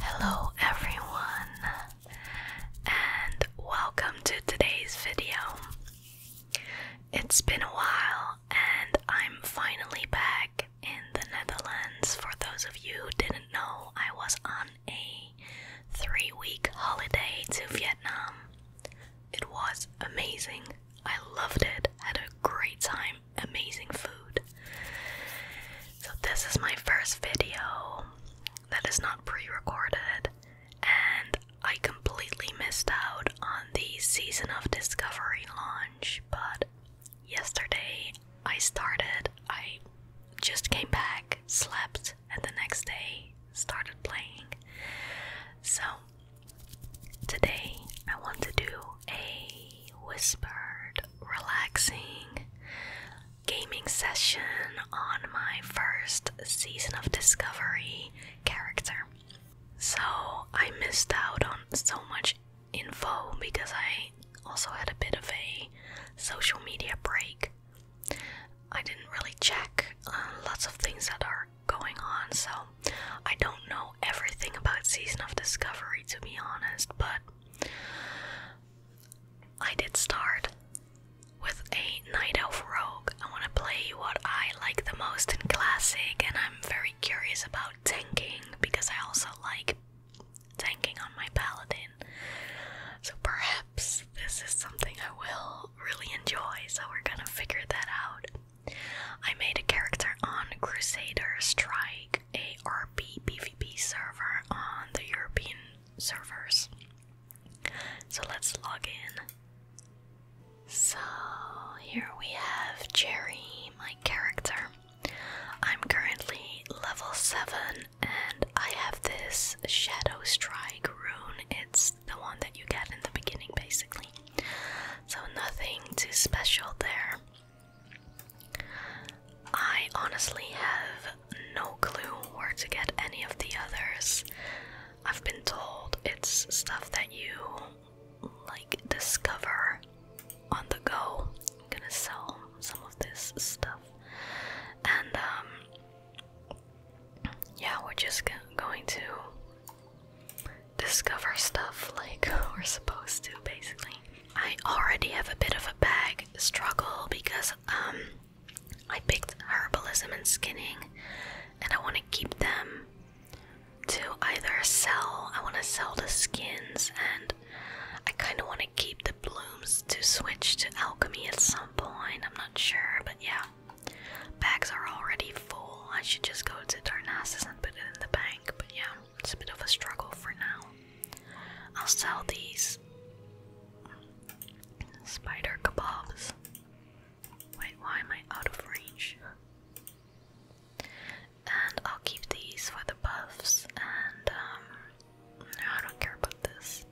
Hello everyone and welcome to today's video. It's been a while and I'm finally back in the Netherlands. For those of you who didn't know, I was on a 3 week holiday to Vietnam. It was amazing. I loved it, had a great time, amazing food. So, this is my first video that is not pre recorded, and I completely missed out on the Season of Discovery launch. But yesterday I started, I just came back, slept, and the next day started playing. So, today I want to do a whispered, relaxing gaming session on my first season of Discovery character. So I missed out on so much info because I also had a bit of a social media break. I didn't really check uh, lots of things that are going on, so I don't know everything about Season of Discovery to be honest, but I did start with a Night Elf Rogue. I want to play what I like the most in Classic, and I'm very curious about tanking because I also like tanking on my Paladin. So perhaps this is something I will really enjoy, so we're gonna figure that out. I made a character on Crusader Strike, a RP PvP server on the European servers. So let's log in. So here we have Jerry, my character. I'm currently level 7 and I have this Shadow Strike rune. It's the one that you get in the beginning basically. So nothing too special there. I honestly have no clue where to get any of the others. I've been told it's stuff that you like discover on the go. I'm gonna sell some of this stuff. And um, yeah, we're just going to discover stuff like we're supposed to, basically. I already have a bit of a bag struggle because um I picked herbalism and skinning and I want to keep them to either sell. I want to sell the skins and I kind of want to keep the blooms to switch to alchemy at some point. I'm not sure, but yeah. Bags are already full. I should just go to Darnassus and put it in the bank, but yeah it's a bit of a struggle for now. I'll sell these spider kebabs. Wait, why am I out of range? And I'll keep these for the buffs, and um, no, I don't care about this.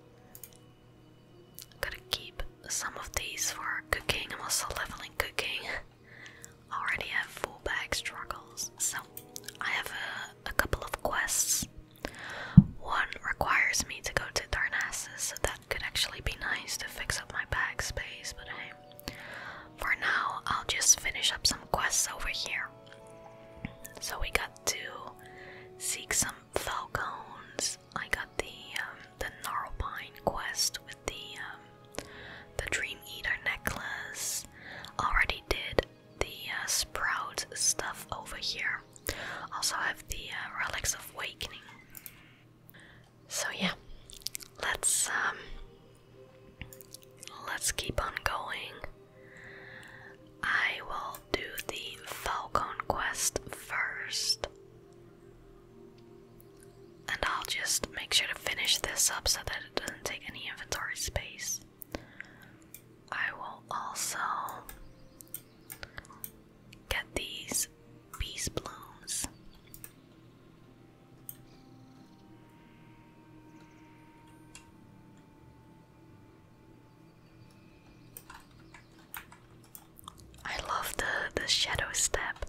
I'm gonna keep some of these for cooking. I'm also leveling cooking. already have full bag struggles, so I have a, couple of quests. One requires me to go to Darnassus, so that could actually be nice to fix up my bag space, but hey. For now, I'll just finish up some quests over here. So we got to seek some falcons. I got the um, the gnarlpine quest with the um, the Dream Eater necklace. Already did the uh, sprout stuff over here. Also have the uh, relics of awakening. So yeah, let's um, let's keep on going. I will do the Falcon quest first and I'll just make sure to finish this up so that it doesn't take any inventory space. I will also get these peace blooms. I love the the shadow step.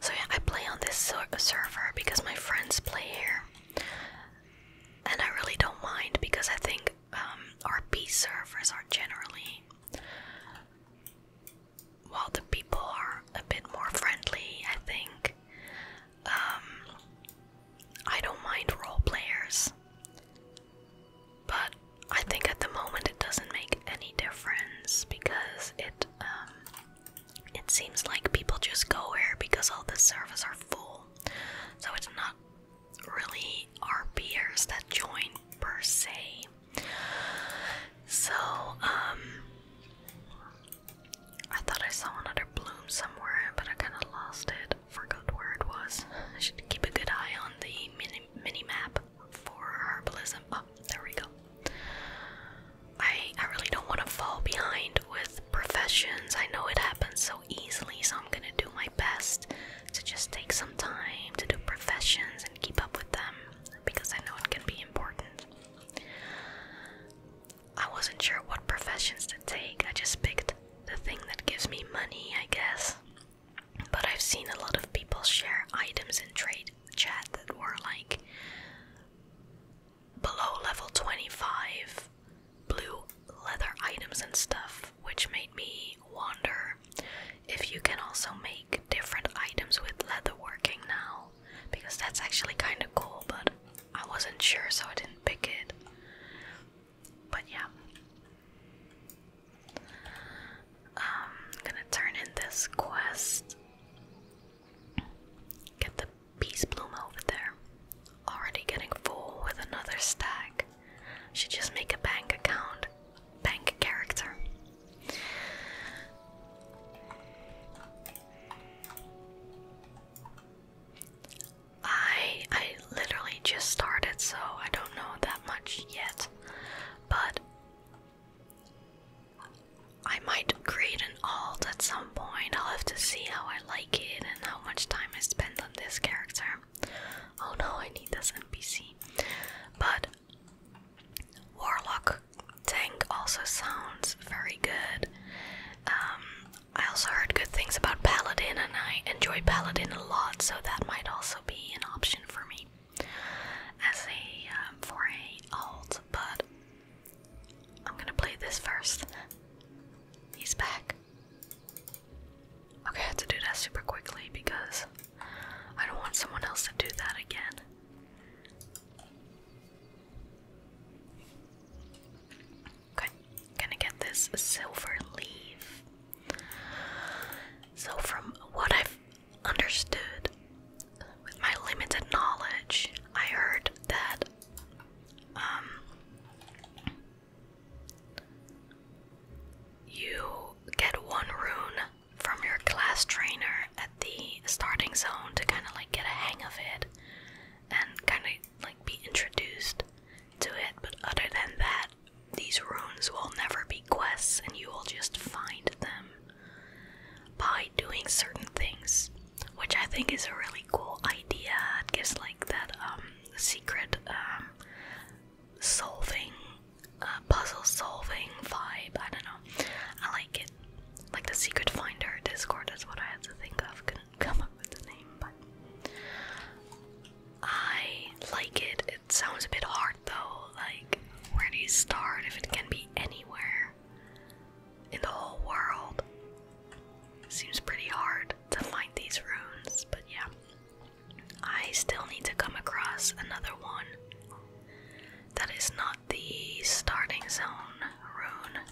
So yeah, I play on this server because my friends play here, and I really don't mind because I think um, RP servers are generally, while the people are a bit more friendly, I think. Um, I don't mind role players. But I think at the moment it doesn't make any difference because it um, it seems like people just go here because all the servers are full. So it's not really our peers that join per se. So um, I thought I saw another bloom somewhere, but I kinda lost it. Forgot where it was. I should keep a good eye on the mini mini map for herbalism. Oh, there we go. I I really don't want to fall behind with professions. I know it happens so easily, so I'm gonna do my best to just take some time to do professions and keep up with them because I know it can be important. I wasn't sure what professions to take. I just picked the thing that gives me money, I guess. But I've seen a lot of people share items in trade chat that were like below level 25 blue leather items and stuff, which made me wonder if you can also make different items with leather working now, because that's actually kind of cool, but I wasn't sure, so I didn't pick it. But yeah. I'm gonna turn in this quest. Get the peace bloom over there. Already getting full with another stack. Should just make a bank account, bank character. I I literally just started, so I don't know that much yet. But I might create an alt at some point. I'll have to see how I like it and how much time I spend on this character. Oh no, I need this NPC. But Warlock Tank also sounds very good. Um, I also heard good things about Paladin, and I enjoy Paladin a lot, so that might also be an option for me as a 4A um, alt, but I'm gonna play this first. He's back. Okay, I have to do that super quickly because I don't want someone else to do that again. Okay, gonna get this silver leaf. So, from what I've understood. With my limited knowledge, I heard that um, you get one rune from your class trainer at the starting zone to kind of like get a hang of it and kind of like be introduced to it, but other than that, these runes will never be quests and you will just find them by doing certain things, which I think is a really cool idea. It gives like that um, secret um, solving, uh, puzzle solving vibe. I don't know. I like it. Like the secret finder Discord That's what I had to think of. Couldn't come up with the name, but I like it. It sounds a bit hard start though? Like, where do you start if it can be anywhere in the whole world? Seems pretty hard to find these runes, but yeah. I still need to come across another one that is not the starting zone rune.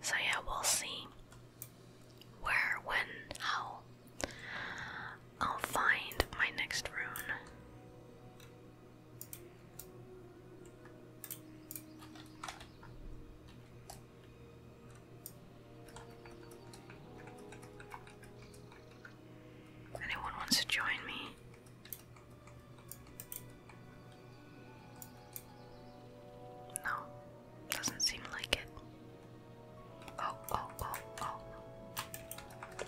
So, yeah, we'll see where, when, how I'll find my next rune. Anyone wants to join me? No, doesn't seem like it. Oh, oh, oh, oh.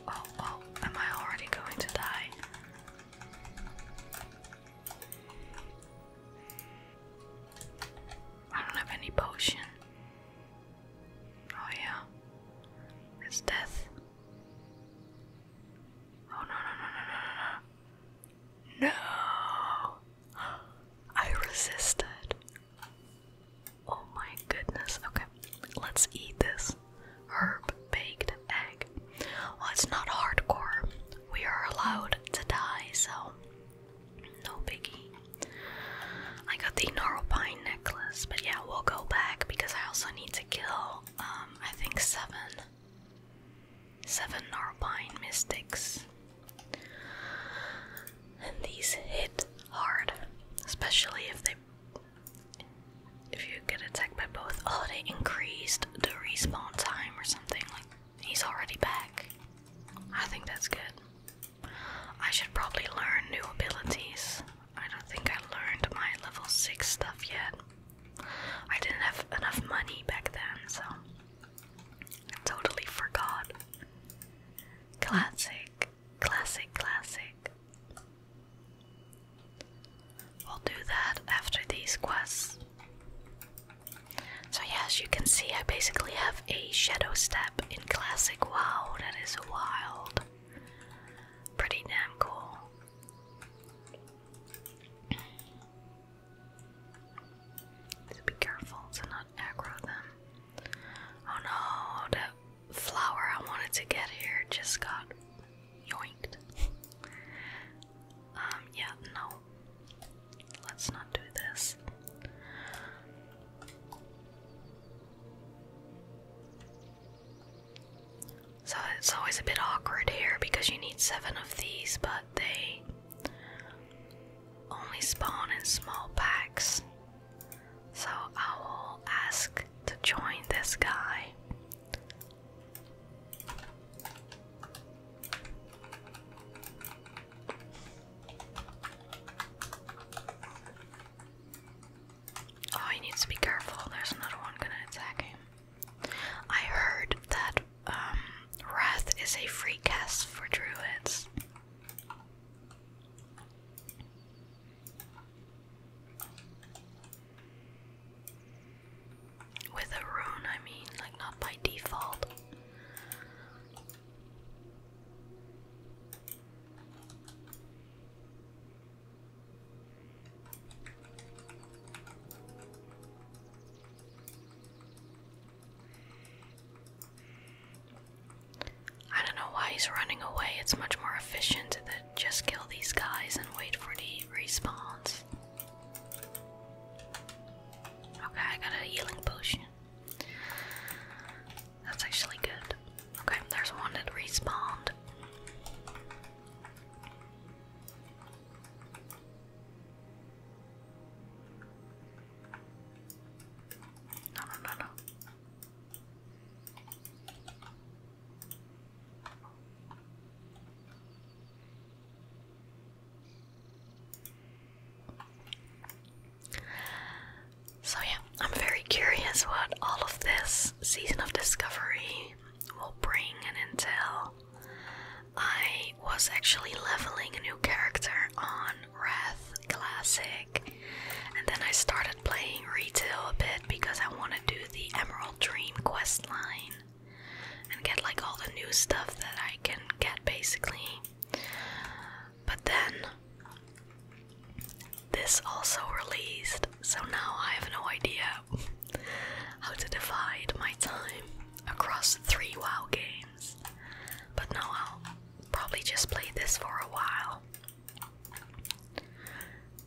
Oh, oh, am I already going to die? I don't have any potion. Oh, yeah. It's death. Oh, no, no, no, no, no, no, no. I resisted. Oh, my goodness. Okay, let's eat this herb baked egg. Well, it's not hardcore. We are allowed to die, so no biggie. I got the Narrowpine necklace, but yeah, we'll go back because I also need to kill, um, I think seven. Seven Narpine mystics. And these hit hard, especially if they if you get attacked by both, oh, they increased the respawn time or something. Like he's already back. I think that's good. I should probably learn new abilities. I don't think I learned my level six stuff yet. I didn't have enough money back then, so I totally forgot. Classic, classic, classic. We'll do that after these quests. So, as you can see I basically have a shadow step in classic. Wow, that is wild. Pretty damn cool. Just be careful to not aggro them. Oh no, that flower I wanted to get here just got yoinked. Um, yeah, no. Let's not do this. So it's always a bit awkward here because you need seven of these, but they only spawn in small packs. So I will ask to join this guy Oh, he needs to be careful. There's another one gonna attack him. I heard that um, Wrath is a free cast for druids. With a rune, I mean, like not by default. I don't know why he's running away. It's much more efficient that just kill these guys and wait for the respawns. Okay, I got a healing potion. That's actually good. Okay, there's one that respawned. no, no, no. So, yeah, I'm very curious what all of this season of discovery will bring and entail. I was actually leveling a new character on Wrath Classic, and then I started playing retail a bit because I want to do the Emerald Dream quest line and get like all the new stuff that I can get basically. But then this also released, so now I have no idea how to divide my time across three WoW games. But now I'll probably just play this for a while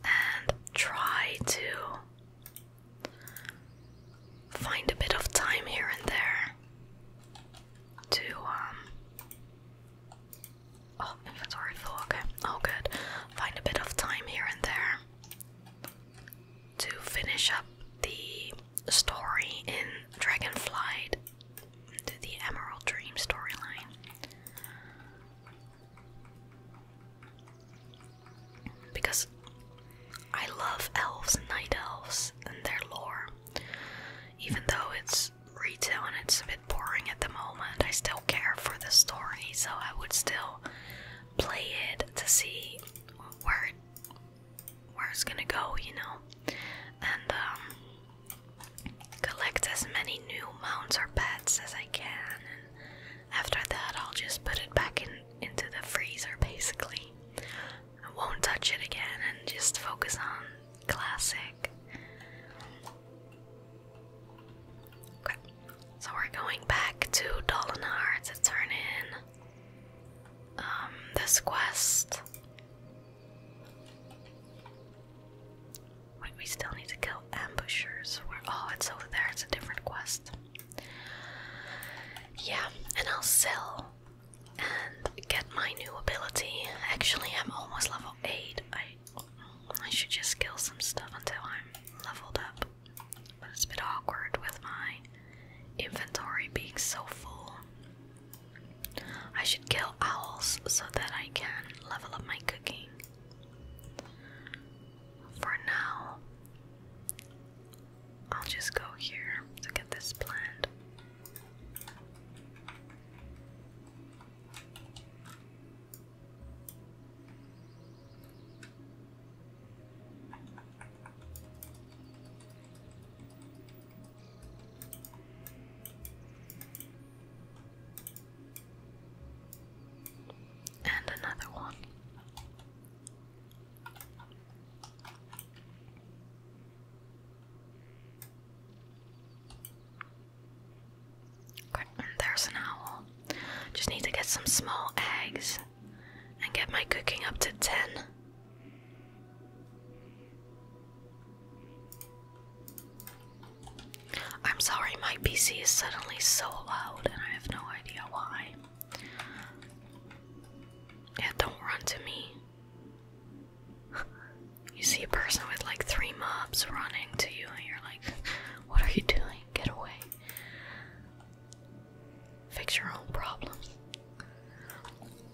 and try to find a bit of time here and there to um, oh inventory okay oh good find a bit of time here and there to finish up the story in Dragonflight to the Emerald Dream storyline because I love elves and night elves and their lore. Even though it's retelling, it's a bit boring at the moment, I still care for the story, so I would still play it to see where where it's gonna go, you know, and um, collect as many new mounts or pets as I can, after that I'll just put it back in into the freezer basically. I won't touch it again and just focus on classic. Okay. So we're going back to Dolinar to turn um, this quest. Wait, we still need to kill ambushers were. Oh, it's over there. It's a different quest. Yeah, and I'll sell and get my new ability. Actually, I'm almost level eight. I I should just kill some stuff until I'm leveled up. But it's a bit awkward with my inventory being so full. I should kill owls so that I can level up my cooking for now, I'll just go here to get this plant. And another one. Okay, there's an owl. Just need to get some small eggs and get my cooking up to 10. I'm sorry, my PC is suddenly so loud and I have no idea. Yeah, don't run to me. you see a person with like three mobs running to you, and you're like, What are you doing? Get away. Fix your own problems.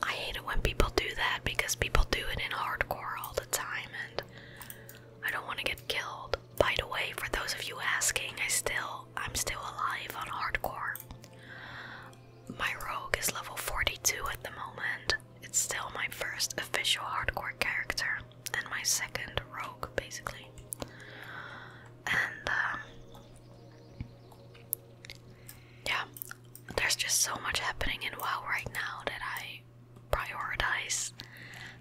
I hate it when people do that because people do it in hardcore all the time, and I don't want to get killed by the way, for those of you asking, I still I'm still alive on hardcore. My rogue is level 42 at the moment. It's still my first official hardcore character and my second rogue basically. And um, yeah, there's just so much happening in WoW right now that I prioritize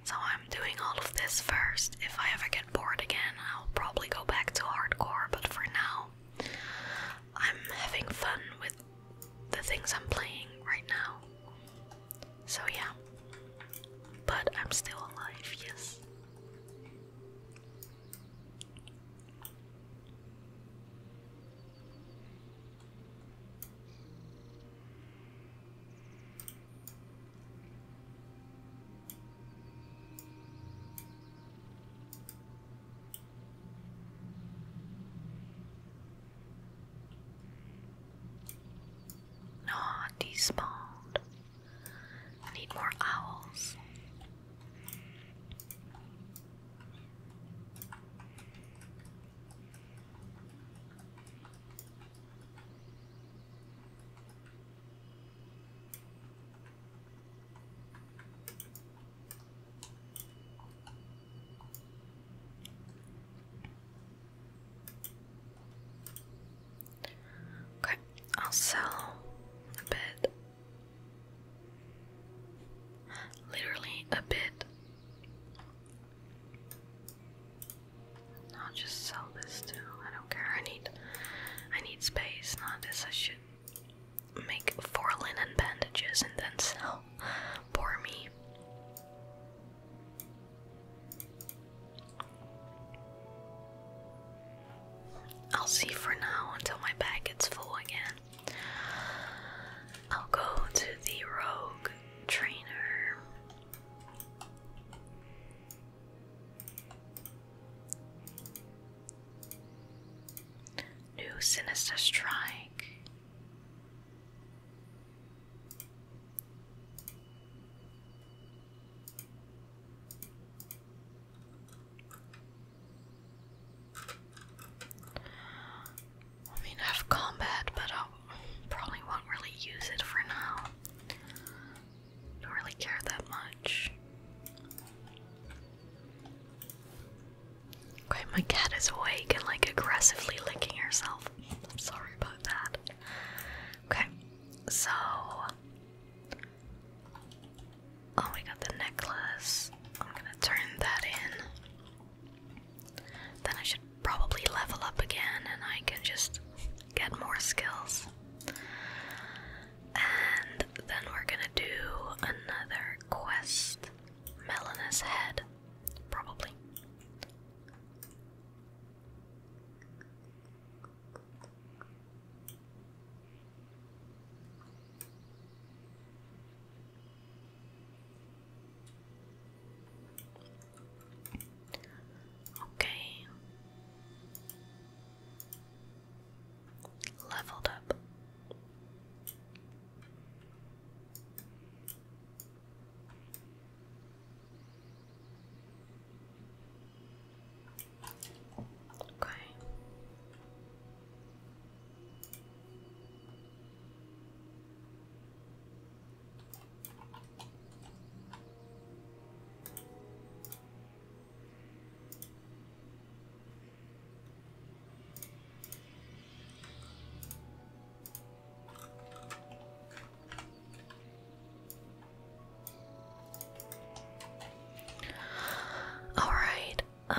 so I'm doing all of this first. If I ever get bored again, I'll probably go back to hardcore, but for now, I'm having fun with the things I'm playing right now. So yeah. But I'm still alive, yes. Aw, despawned. need more owls. Okay, I'll sell a bit. Literally a bit. I'll just sell this too. I don't care. I need I need space, not this. I should make four linen bandages and then sell. Poor me. I'll see for now until my bag gets full again. I'll go to the rogue trainer. New sinister strike. I mean, I have combat, but I probably won't really use it for now. Don't really care that much. Okay, my cat is awake and like aggressively licking herself. I'm sorry about that. Okay, so. Oh, we got the necklace. I'm gonna turn that in. Then I should probably level up again and I can just get more skills. And then we're gonna do another quest. Melina's head, probably. Okay, Leveled up. Okay. All right. Um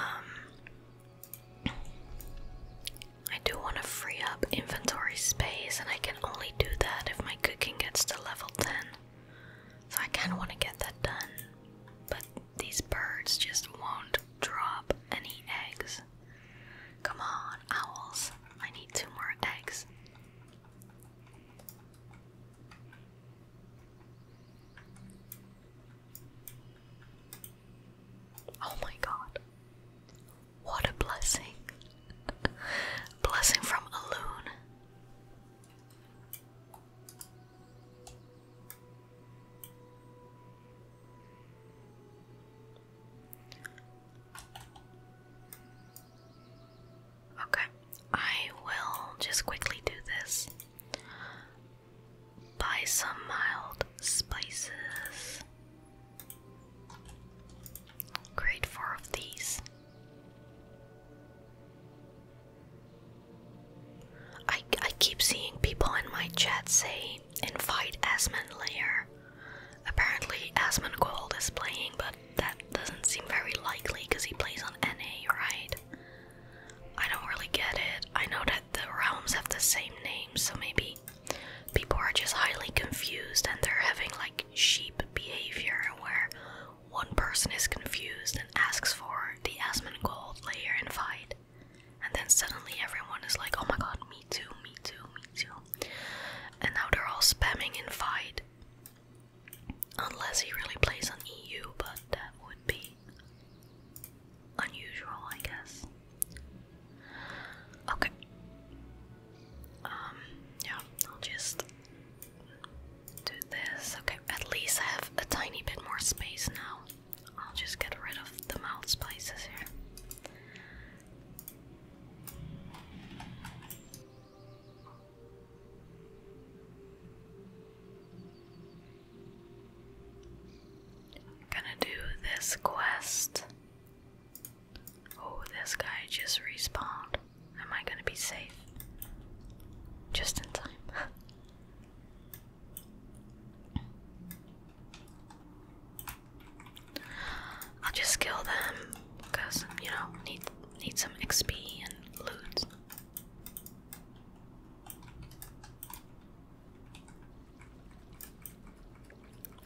I do want to free up inventory space and I can only do that if my cooking gets to level 10. So I kind of want to get that done. But these birds just won't drop any eggs. Come on, owls. I need two more eggs. Oh my god. What a blessing. blessing from a loon. Okay, I will just quickly do this. Buy some mild spices. Create four these. I, I keep seeing people in my chat say invite Asmund layer. Apparently Asmund Gold is playing, but that doesn't seem very likely because he plays on NA, right? I don't really get it. I know that the realms have the same name, so maybe people are just highly confused and they're having like sheep behavior where one person is confused and asks for the gold layer and fight. And then suddenly everyone is like, oh my god, me too, me too, me too. And now they're all spamming in fight. Unless he really plays an EU, but that would be unusual, I guess. Okay. Um, yeah, I'll just do this. Okay, at least I have a tiny bit more space now. I'll just get rid of the mouth spaces here. gonna do this quest. Oh, this guy just respawned. Am I gonna be safe? Just in time. I'll just kill them because you know need need some XP and loot.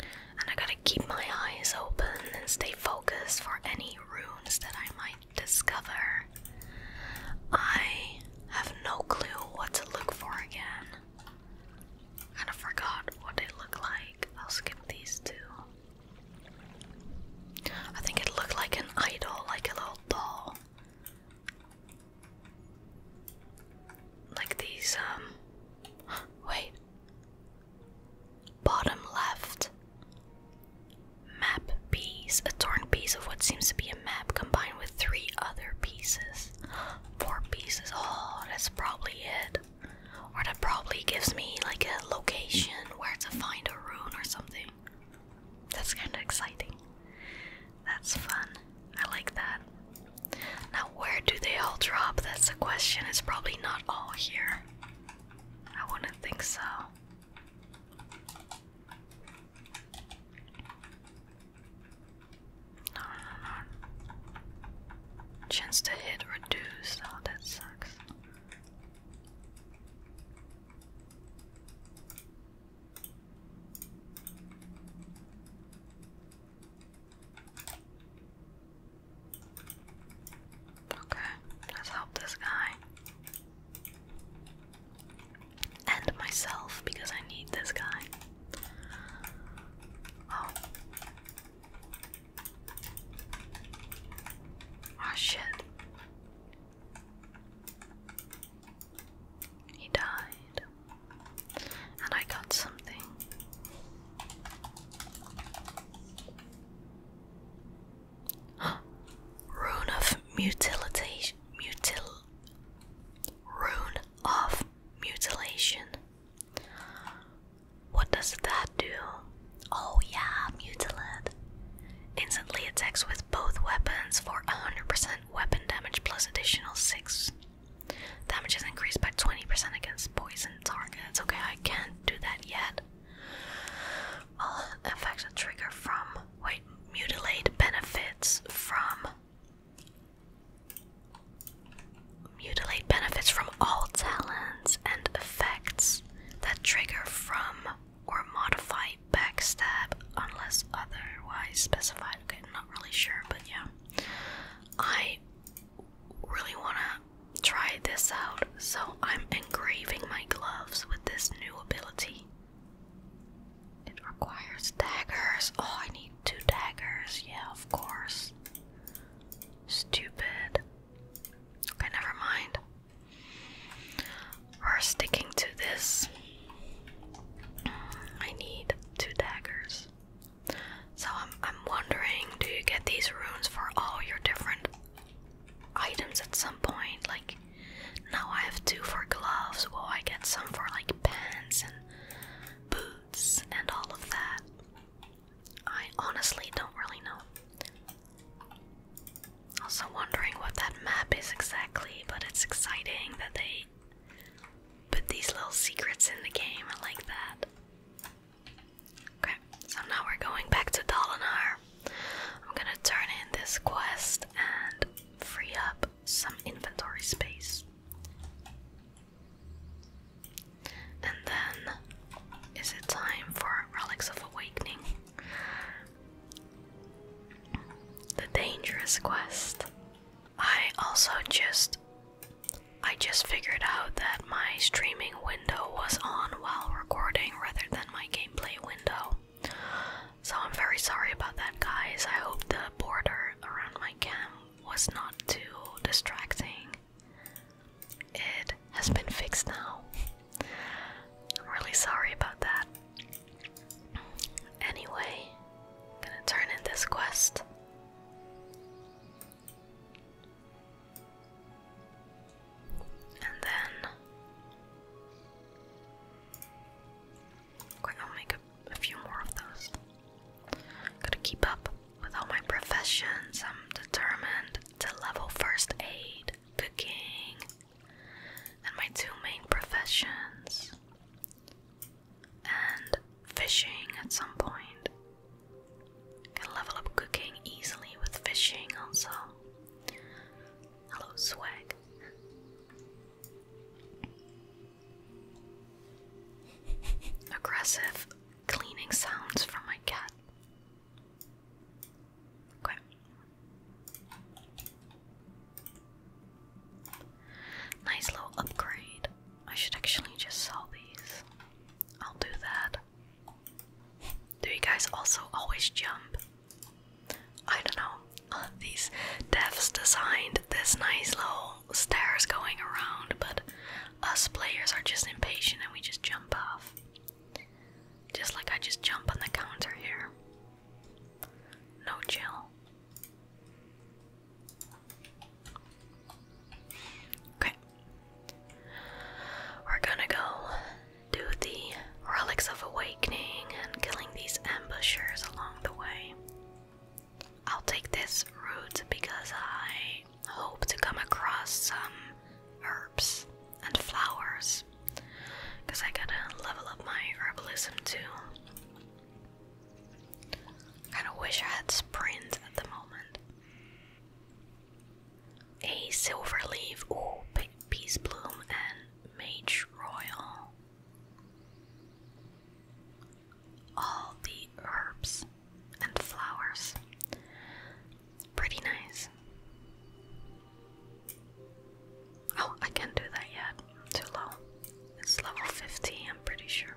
And I gotta keep my eyes open and stay focused for any runes that I might discover. I have no clue what to look for again. Kind of forgot what they look like. I'll skip these two. I think it looked like an idol, like a little doll. Like these, um. Wait. Bottom left. Map piece. A torn piece of what seems to be a map combined with three other pieces. Four pieces. Oh, that's probably it. Or that probably gives me like a location where to find a rune or something. That's kind of exciting. That's fun. I like that. Now, where do they all drop? That's the question. It's probably not all here. I wouldn't think so. No, no, no. Chance to hit reduced. Oh, that sucks. Okay, let's help this guy. And myself because I need this guy. Oh. Ah, shit. He died. And I got something. Rune of mutilation. Rune of mutilation. What does that do? Oh yeah, mutilate. Instantly attacks with both weapons for 100% weapon damage plus additional 6. Damage is increased by 20% against poison targets. Okay, I can't do that yet all effects that trigger from wait mutilate benefits from mutilate benefits from all talents and effects that trigger from or modify backstab unless otherwise specified. Okay, I'm not really sure, but yeah. I really wanna try this out so I'm engraving my gloves with this new ability. It requires daggers. Oh, I need two daggers. Yeah, of course. Stupid. Okay, never mind. We're sticking to this. I need two daggers. So I'm I'm wondering, do you get these runes for all your different items at some point. Like now I have two for gloves. Well, I get some for like pants and boots and all of that. I honestly don't really know. Also wondering what that map is exactly, but it's exciting that they put these little secrets in the game. I like that. Okay, so now we're going back to Dalinar. I'm gonna turn in this quest and free up some inventory space. And then, is it time for Relics of Awakening? The dangerous quest. I also just I just figured out that my streaming window was on while recording rather than my gameplay window. So I'm very sorry about that, guys. I hope the border around my camp was not too distracting. It has been fixed now. I'm really sorry about that. Anyway, I'm gonna turn in this quest. And then I'll make a few more of those. Gotta keep up with all my professions. I'm determined to level first aid, cooking, and my two main professions, and fishing at some point. Can level up cooking easily with fishing also. Hello, swag. Aggressive cleaning sounds from my cat. Okay. Nice little upgrade. I should actually just sell these. I'll do that. Do you guys also always jump? I don't know, these devs designed this nice little stairs going around, but us players are just impatient and we just jump off. Just like I just jump on the counter here. No chill. Okay. We're gonna go do the relics of awakening and killing these ambushers along the way. I'll take this route because I hope to come across some herbs and flowers. Because I gotta level up my herbalism too. Kinda wish I had sprint at the moment. A silver leaf, ooh, peace bloom, and Mage Royal. All the herbs and flowers. Pretty nice. Oh, I can't do that yet. Too low. It's level 50, I'm pretty sure.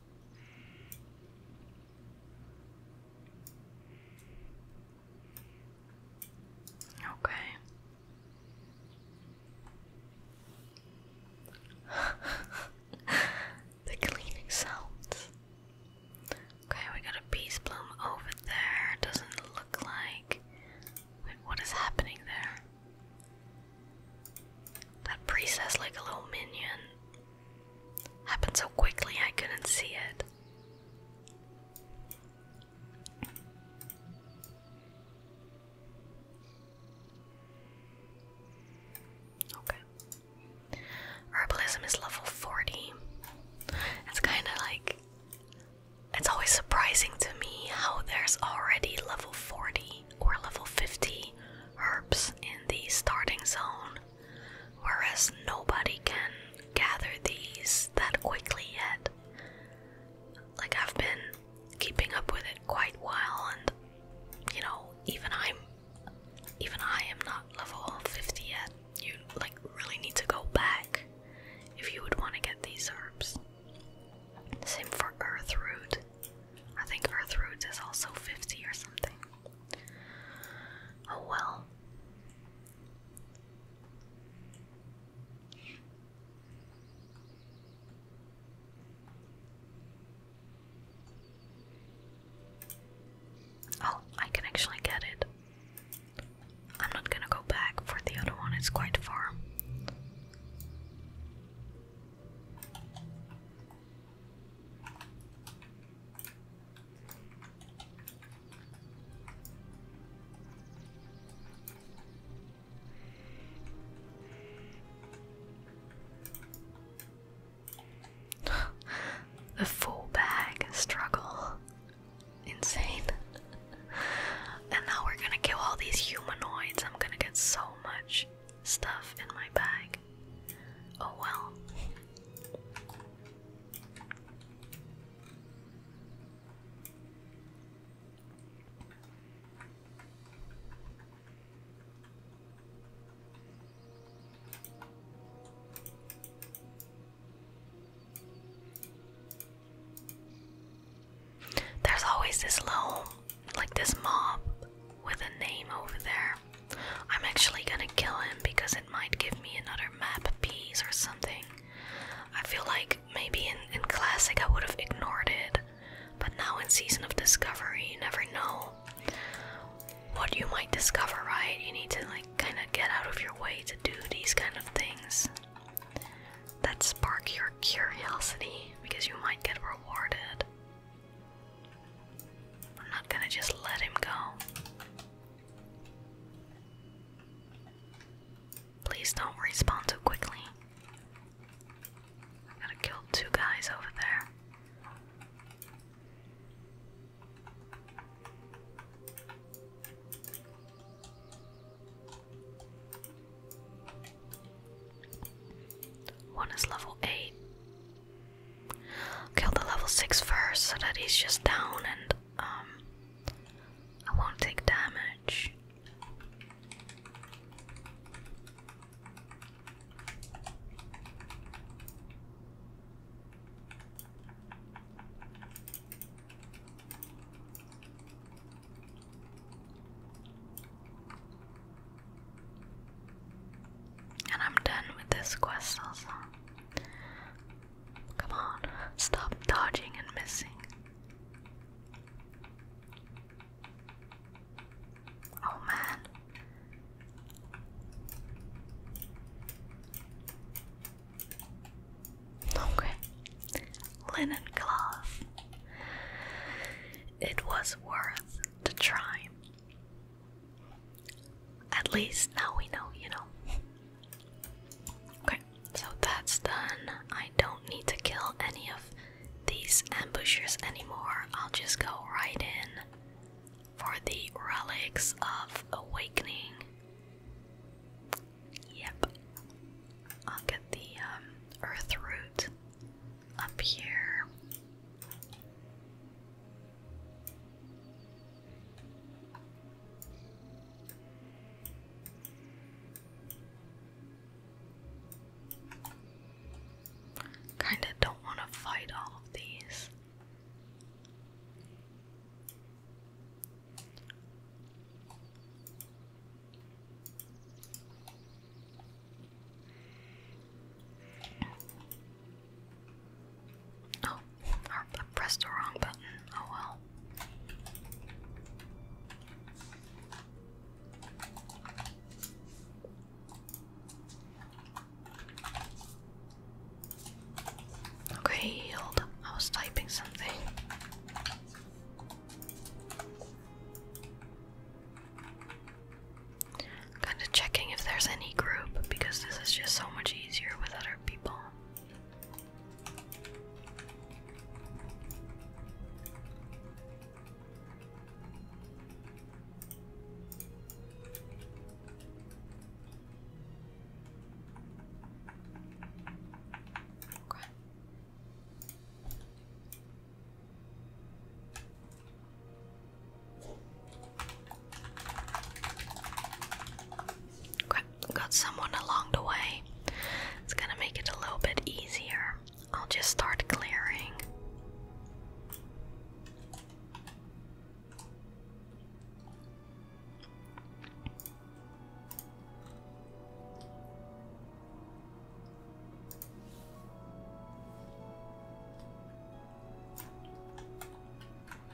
Okay. the cleaning sounds. Okay, we got a peace bloom over there. Doesn't look like. Wait, what is happening there? That priest like a little minion. Happened so quickly I couldn't see it. Okay. Herbalism is level 40. It's kind of like. It's always surprising to me how there's already level 40 or level 50 herbs in the starting zone, whereas nobody can gather these that quickly yet. Like, I've been keeping up with it quite a while, and you know, even I'm even I am not level 50 yet. You like really need to go back if you would want to get these herbs. Same for earth root. I think Earth Roots is also 50 or something. Oh well. Oh, I can actually get it. I'm not gonna go back for the other one, it's quite far. A full bag struggle. Insane. and now we're gonna kill all these humanoids. I'm gonna get so much stuff in my bag. Oh well. There's always this little, like this mob with a name over there. I'm actually gonna kill him because it might give me another map piece or something. I feel like maybe in, in Classic I would have ignored it, but now in Season of Discovery, you never know what you might discover, right? You need to like kind of get out of your way to do these kind of things that spark your curiosity because you might get rewarded. I'm not gonna just let him go. Please don't respond too quickly. I gotta kill two guys over there. One is level 8, Kill the level 6 first so that he's just down and um, I won't take damage. And I'm done with this quest also. Come on, stop dodging and missing. Oh man. Okay. Linen cloth. It was worth the try. At least now we know, you know. Okay, so that's done. I don't need to kill any of these ambushers anymore. I'll just go right in for the relics of awakening. Yep. I'll get the um, earth root up here. Kinda don't want to fight all of these. Oh, I pressed the wrong button. Oh well. Okay, hold I was typing something kind of checking if there's any group because this is just so much easier with other people got someone along the way. It's gonna make it a little bit easier. I'll just start clearing.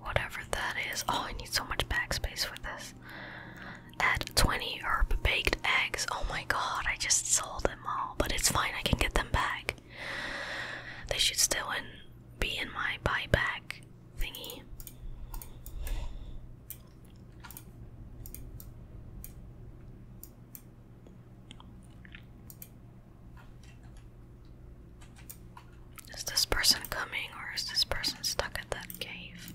whatever that is. Oh, I need so much backspace for this. Add 20 herb baked eggs. Oh my god, I just sold them all, but it's fine, I can get them back. They should still be in my buyback thingy. Is this person coming or is this person stuck at that cave?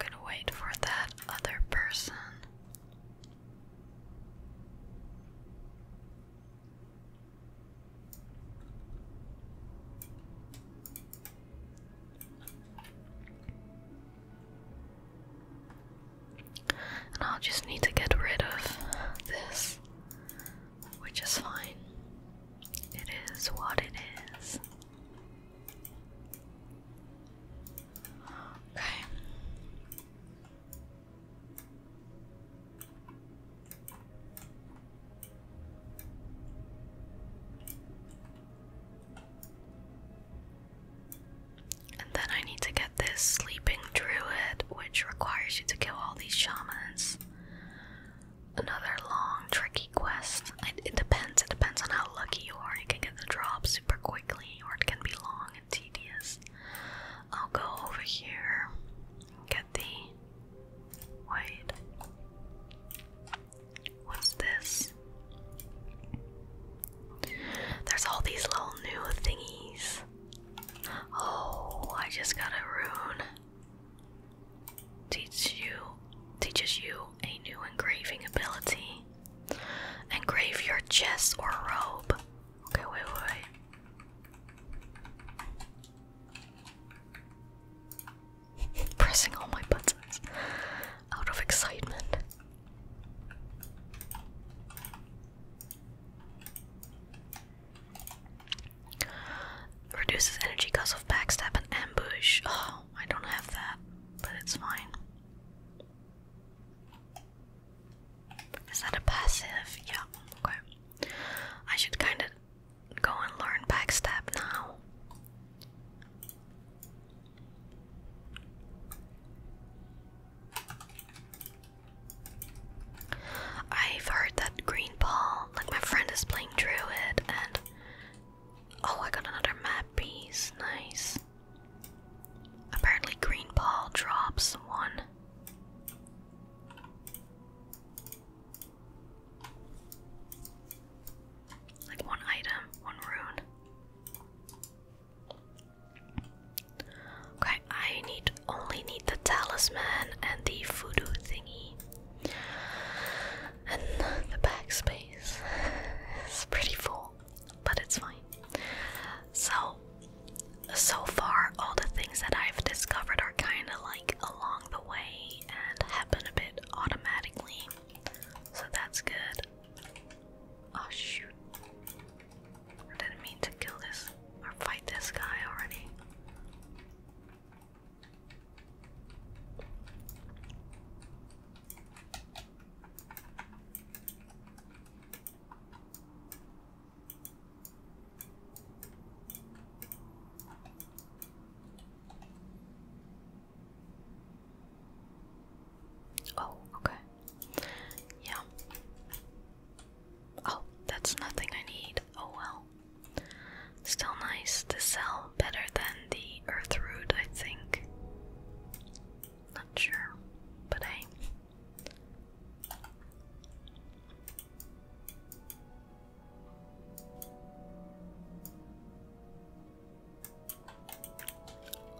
I'm gonna wait for that other person. And I'll just need to get rid of this, which is fine. It is what it is. Okay. And then I need to get this sleeping druid, which requires you to kill all these shamans. Another long, tricky quest. It, depends. It depends on how lucky you are. You can get the drop super quickly, or it can be long and tedious. I'll go over here and get the. Wait. What's this? There's all these little new thingies. Oh, I just got a rune. Teach you teaches you a new engraving ability. Engrave your chest or robe. Okay, wait, wait. pressing all my buttons out of excitement. Reduces energy Cause of backstab and ambush. Oh, I don't have that, but it's fine. Is that a passive? Yeah, okay. I should kind of go and learn backstab now. I've heard that green ball, like my friend is playing Druid, and oh, I got another map piece. Nice. Apparently, green ball drops one. Like one item, one rune. Okay, I need only need the talisman and the voodoo thingy. And the backspace is pretty full, but it's fine. So, so far, all the things that I've discovered are kind of like along the way, and happen a bit automatically, so that's good. Oh shoot. I didn't mean to kill this or fight this guy already. Oh, okay. Yeah. Oh, that's nothing I need. Oh well. Still nice to sell, better than the earth root, I think. Not sure, but hey.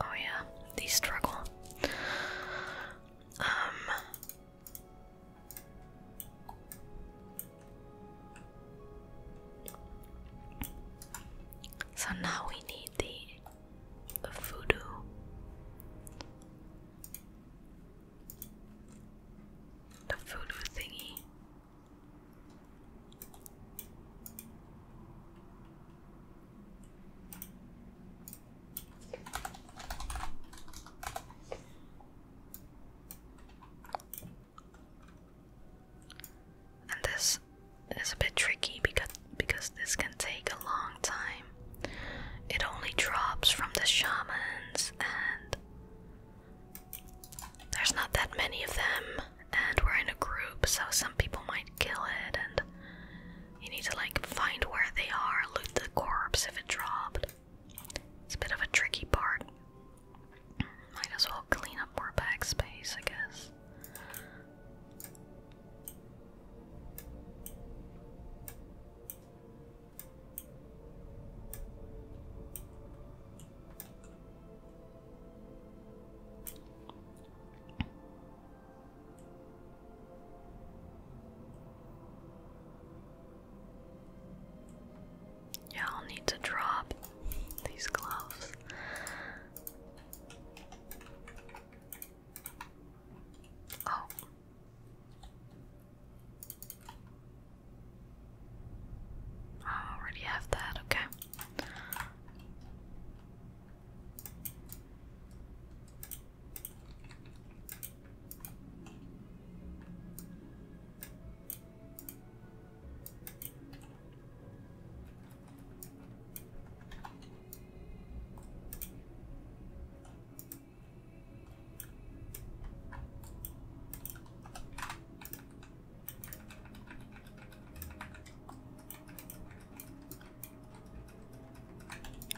Oh yeah, they struggle. Um, so now we need the voodoo. The voodoo thingy. And this is a bit tricky because because this can take a long time. It only drops from the shamans and there's not that many of them, and we're in a group, so some people might kill it, and you need to like find where they are, loot the corpse if it dropped. It's a bit of a tricky part. Might as well clean up more backspace, I guess. Yeah, I'll need to drop these gloves. Oh. I already have that, okay.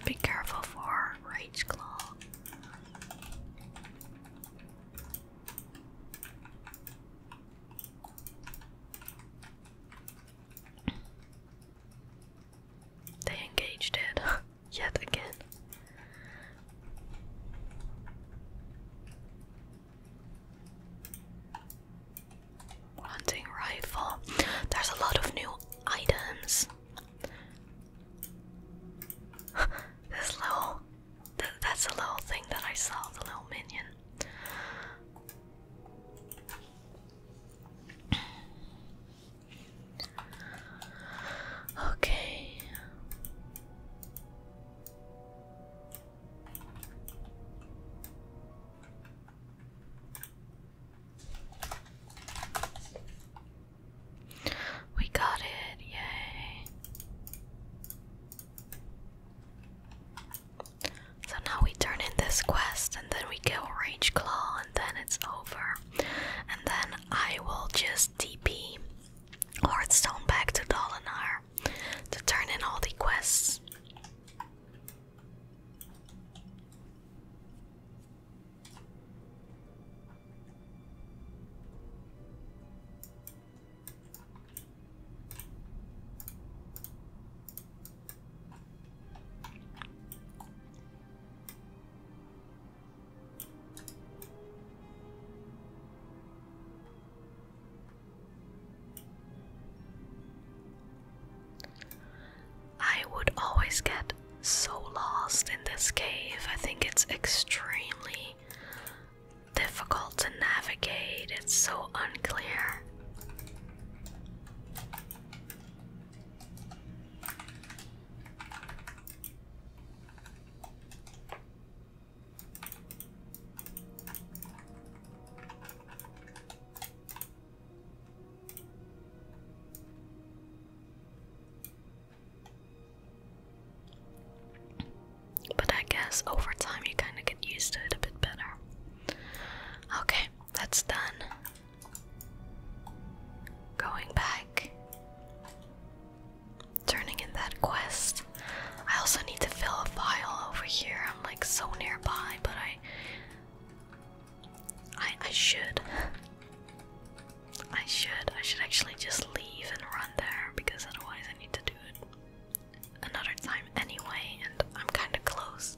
Be careful for Rage Claw. They engaged it yet again. Hunting rifle. There's a lot of new items. this little. that's a little thing that I saw, the little minion. Okay. We got it, yay. So now we turn in this quest and then we kill Rage Claw and then it's over. And then I will just DP Hearthstone back to Dolinar to turn in all the quests. I would always get so lost in this cave. I think it's extremely difficult to navigate, it's so unclear. But I guess over time you kind of get used to it a bit better. Okay, that's done. Going back, turning in that quest. I also need to fill a vial over here. I'm like so nearby, but I I should. I should. I should actually just leave and run there because otherwise I need to do it another time anyway and I'm kind of close.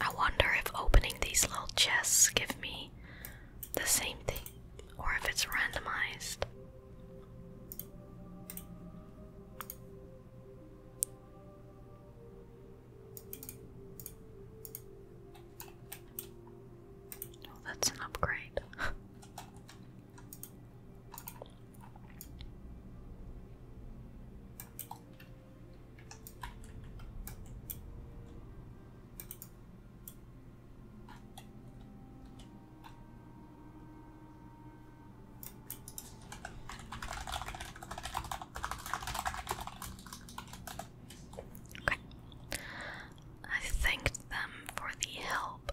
I wonder if opening these little chests give me the same thing or if it's randomized. Oh, that's an upgrade. I thanked them for the help.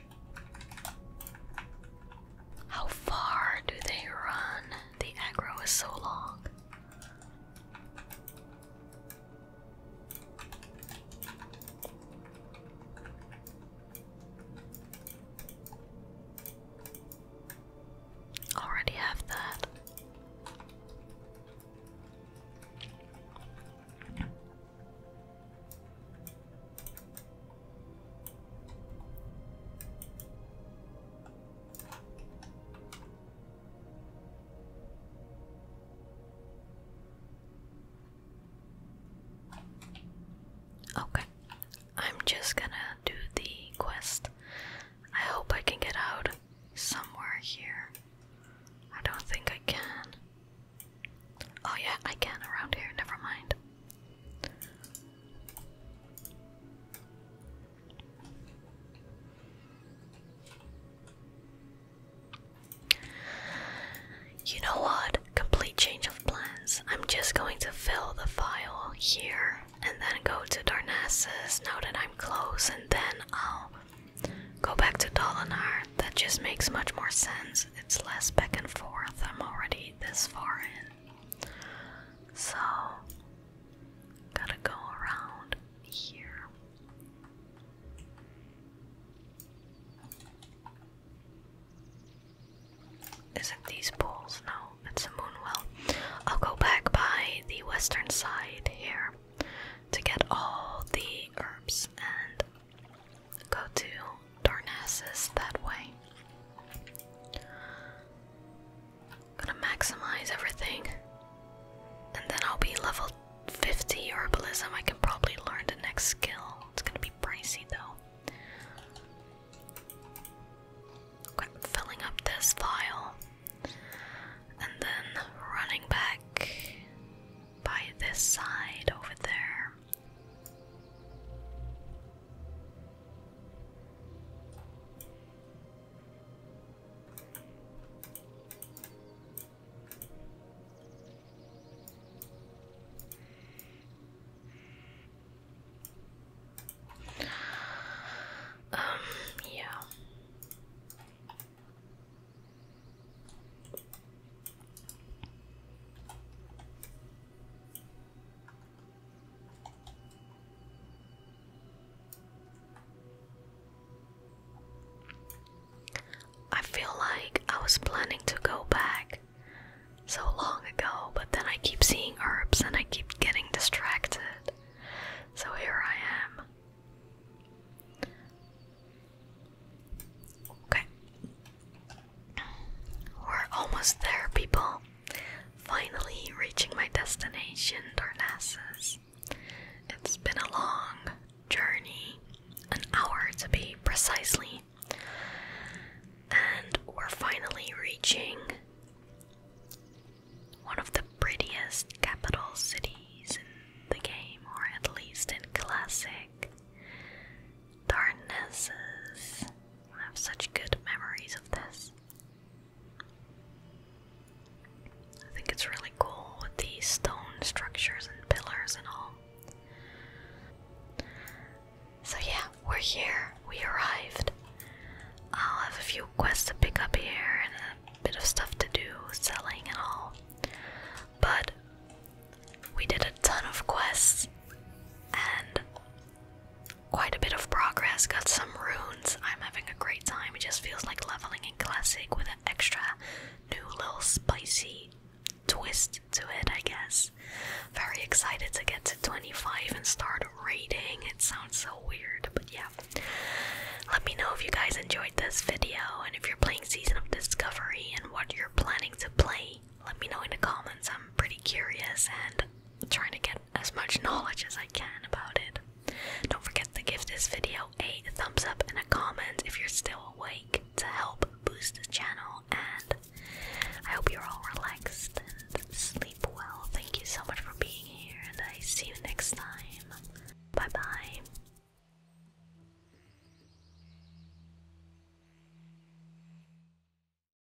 How far do they run? The aggro is so long. Already have that. Okay, I'm just gonna do the quest. I hope I can get out somewhere here. I don't think I can. Oh, yeah, I can around here, never mind. You know what? Complete change of plans. I'm just going to fill the file here and then go to Darnassus now that I'm close, and then I'll go back to Dolinar. That just makes much more sense. It's less back and forth. I'm already this far in. So, gotta go around here. Is it these poles? No, it's a moonwell. I'll go back by the western side here to get all the herbs and go to Darnassus that way. Gonna maximize everything. And then I'll be level 50 herbalism. I can probably learn the next skill. It's gonna be pricey though. filling up this vial. And then running back by this side over there. Um, yeah. I feel like I was planning to go back so long ago, but then I keep seeing herbs and I keep getting distracted. So here I am. Okay. We're almost there, people. Finally reaching my destination, Darnassus. It's been a long journey, an hour to be precisely. And we're finally reaching one of the prettiest capital cities in the game, or at least in Classic. Darknesses. I have such good memories of this. I think it's really cool with these stone structures and pillars and all. So yeah, we're here. We arrived. I'll have a few quests to pick up here and a bit of stuff to do, selling and all. But we did a ton of quests and quite a bit of progress, got some runes. I'm having a great time. It just feels like leveling in classic with an extra new little spicy twist to it, I guess. Very excited to get to 25 and start raiding. It sounds so weird, but yeah. Let me know if you guys enjoyed this video and if you're playing Season of Discovery and what you're planning to play let me know in the comments. I'm pretty curious and trying to get as much knowledge as I can about it. Don't forget to give this video a thumbs up and a comment if you're still awake to help boost the channel. And I hope you're all relaxed and sleep well. Thank you so much for being here, and I see you next time. Bye bye.